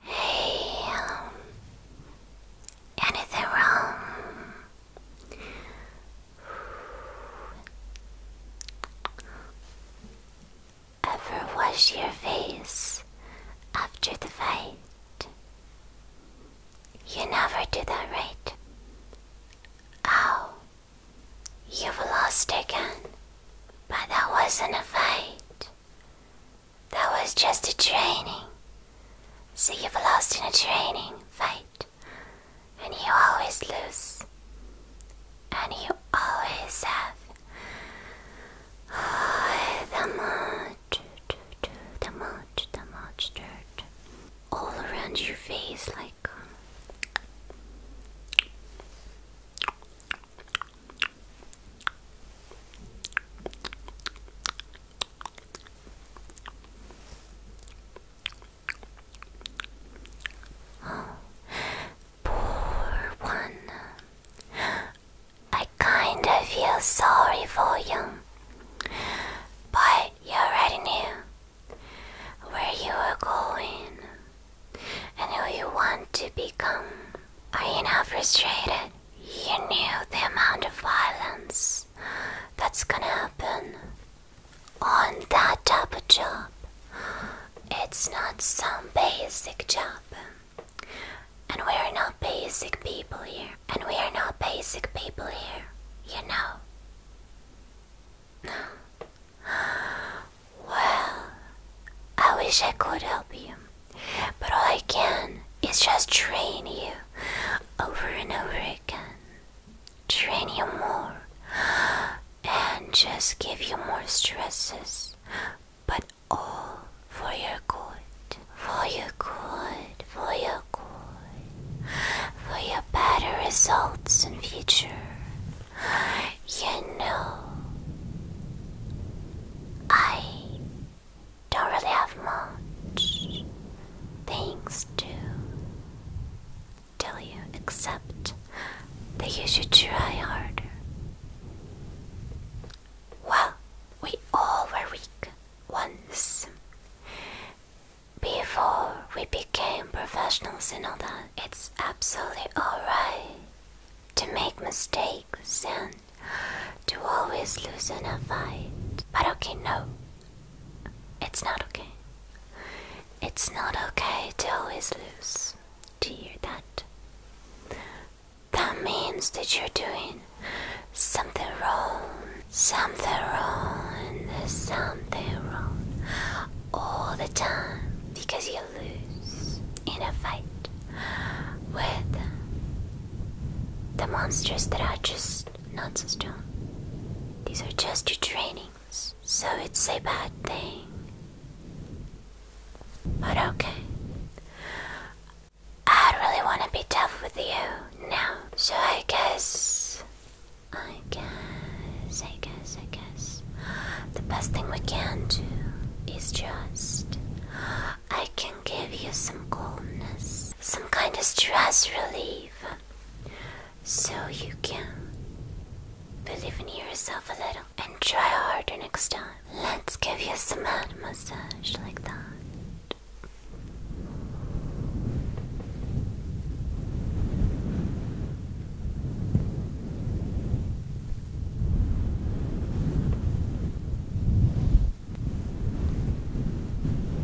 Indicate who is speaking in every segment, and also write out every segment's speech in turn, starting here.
Speaker 1: Hey, anything wrong? Ever wash your face after the fight? You never do that, right? Oh, you've lost again. But that wasn't a fight. That was just a training. So you've lost in a training fight. And you always lose. And you always have. Oh, the much, the much, the much dirt all around your face, like um, poor one. I kinda feel sorry for you. But you already knew where you were going and who you want to become. Are you not frustrated? You knew the amount of violence that's gonna happen on that type of job. It's not some basic job, and we're not basic people here. And we are not basic people here, you know. well, I wish I could help you, but all I can is just train you over and over again. Train you more and just give you more stresses, but all for your good for your good, for your good, for your better results in future. You know, I don't really have much things to tell you except that you should try harder. Well, we all were weak once. Before we became professionals and all that, it's absolutely alright to make mistakes and to always lose in a fight. But okay, no, it's not okay. It's not okay to always lose. Do you hear that? That means that you're doing Something wrong, something wrong, there's something wrong all the time because you lose in a fight with the monsters that are just not so strong. These are just your trainings, so it's a bad thing. But okay, I really want to be tough with you now, so I guess. I guess, I guess, I guess. The best thing we can do is just. I can give you some calmness, some kind of stress relief, so you can believe in yourself a little and try harder next time. Let's give you some head massage like that.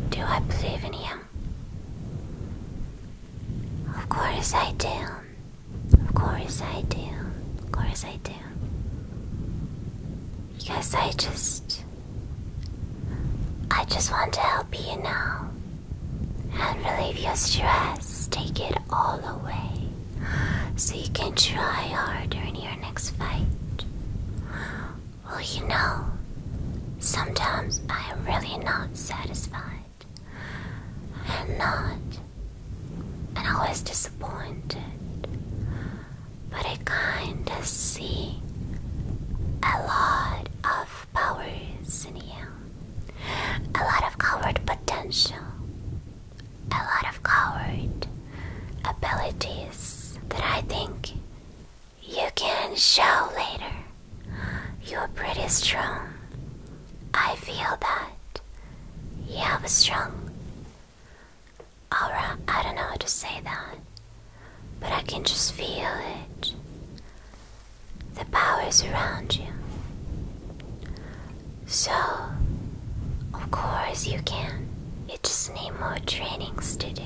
Speaker 1: Do I believe in him? Of course I do. Of course I do. Of course I do. Because I just. I just want to help you now and relieve your stress. Take it all away so you can try harder in your next fight. Well, you know, sometimes I am really not satisfied. I am not, and always disappointed but I kinda see a lot of powers in you, a lot of coward potential, a lot of coward abilities that I think you can show later. You're pretty strong. I feel that you have a strong Aura, I don't know how to say that, but I can just feel it. The powers around you. So, of course, you can. It just need more trainings to do.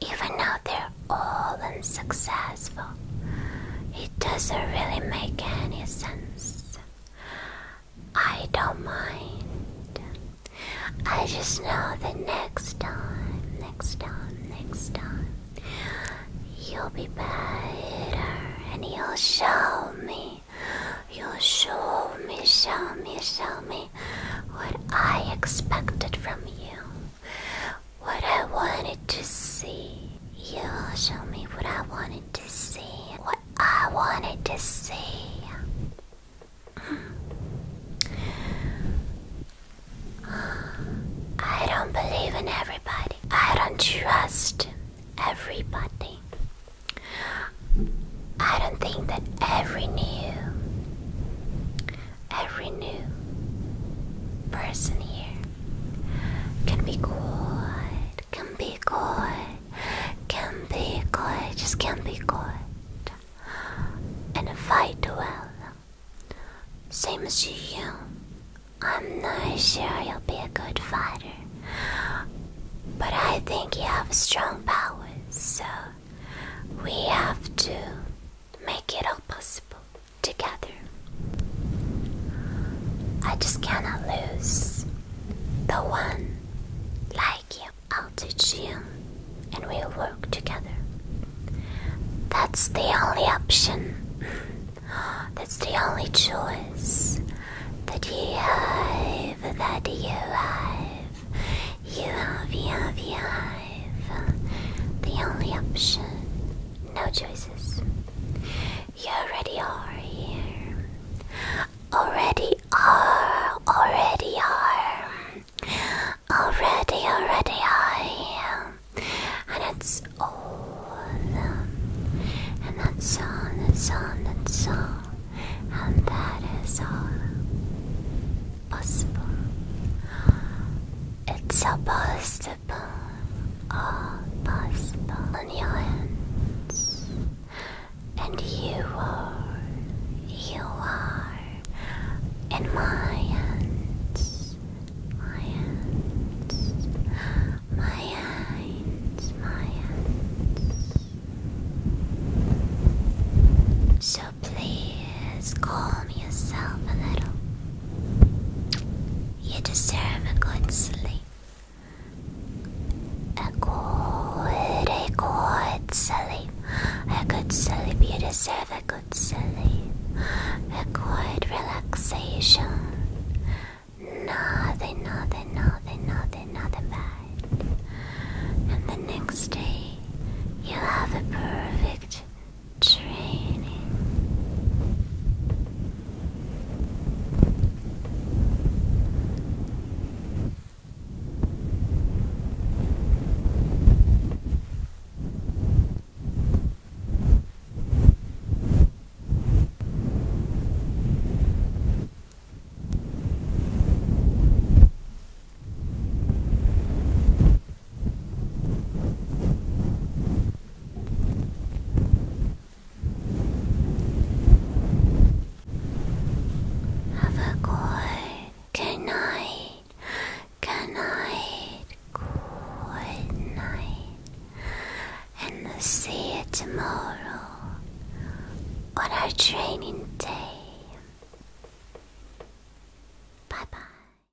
Speaker 1: Even though they're all unsuccessful, it doesn't really make any sense. I don't mind. I just know that next time, next time, next time, you'll be better and you'll show me. You'll show me, show me, show me what I expected from you. What I wanted to see. You'll show me what I wanted to see. I wanted to see. I don't believe in everybody. I don't trust everybody. I don't think that every new every new person here can be quite can be good, can be good, just can be good, and fight well. Same as you, I'm not sure you'll be a good fighter, but I think you have strong powers, so we have to make it all possible together. I just cannot lose the one like you. I'll teach you and we'll work together. That's the only option. That's the only choice that you have, that you have. You have, you have, you have. The only option. No choices. You already are here. Already are. Already are. Already, already are. am. And it's all. And that's on. that's on. that's on. And that is all possible. It's supposed to are possible on the islands, and you are, you are in my hands, my hands, my hands, my hands. So please calm yourself a little. You deserve a good sleep. A good, a good sleep. A good sleep. You deserve a good sleep. A good relaxation. Nothing, nothing, nothing, nothing, nothing bad. And the next day, you'll have a perfect Training. Have a good, good night, good night, good night, and see you tomorrow on our training day. Bye bye.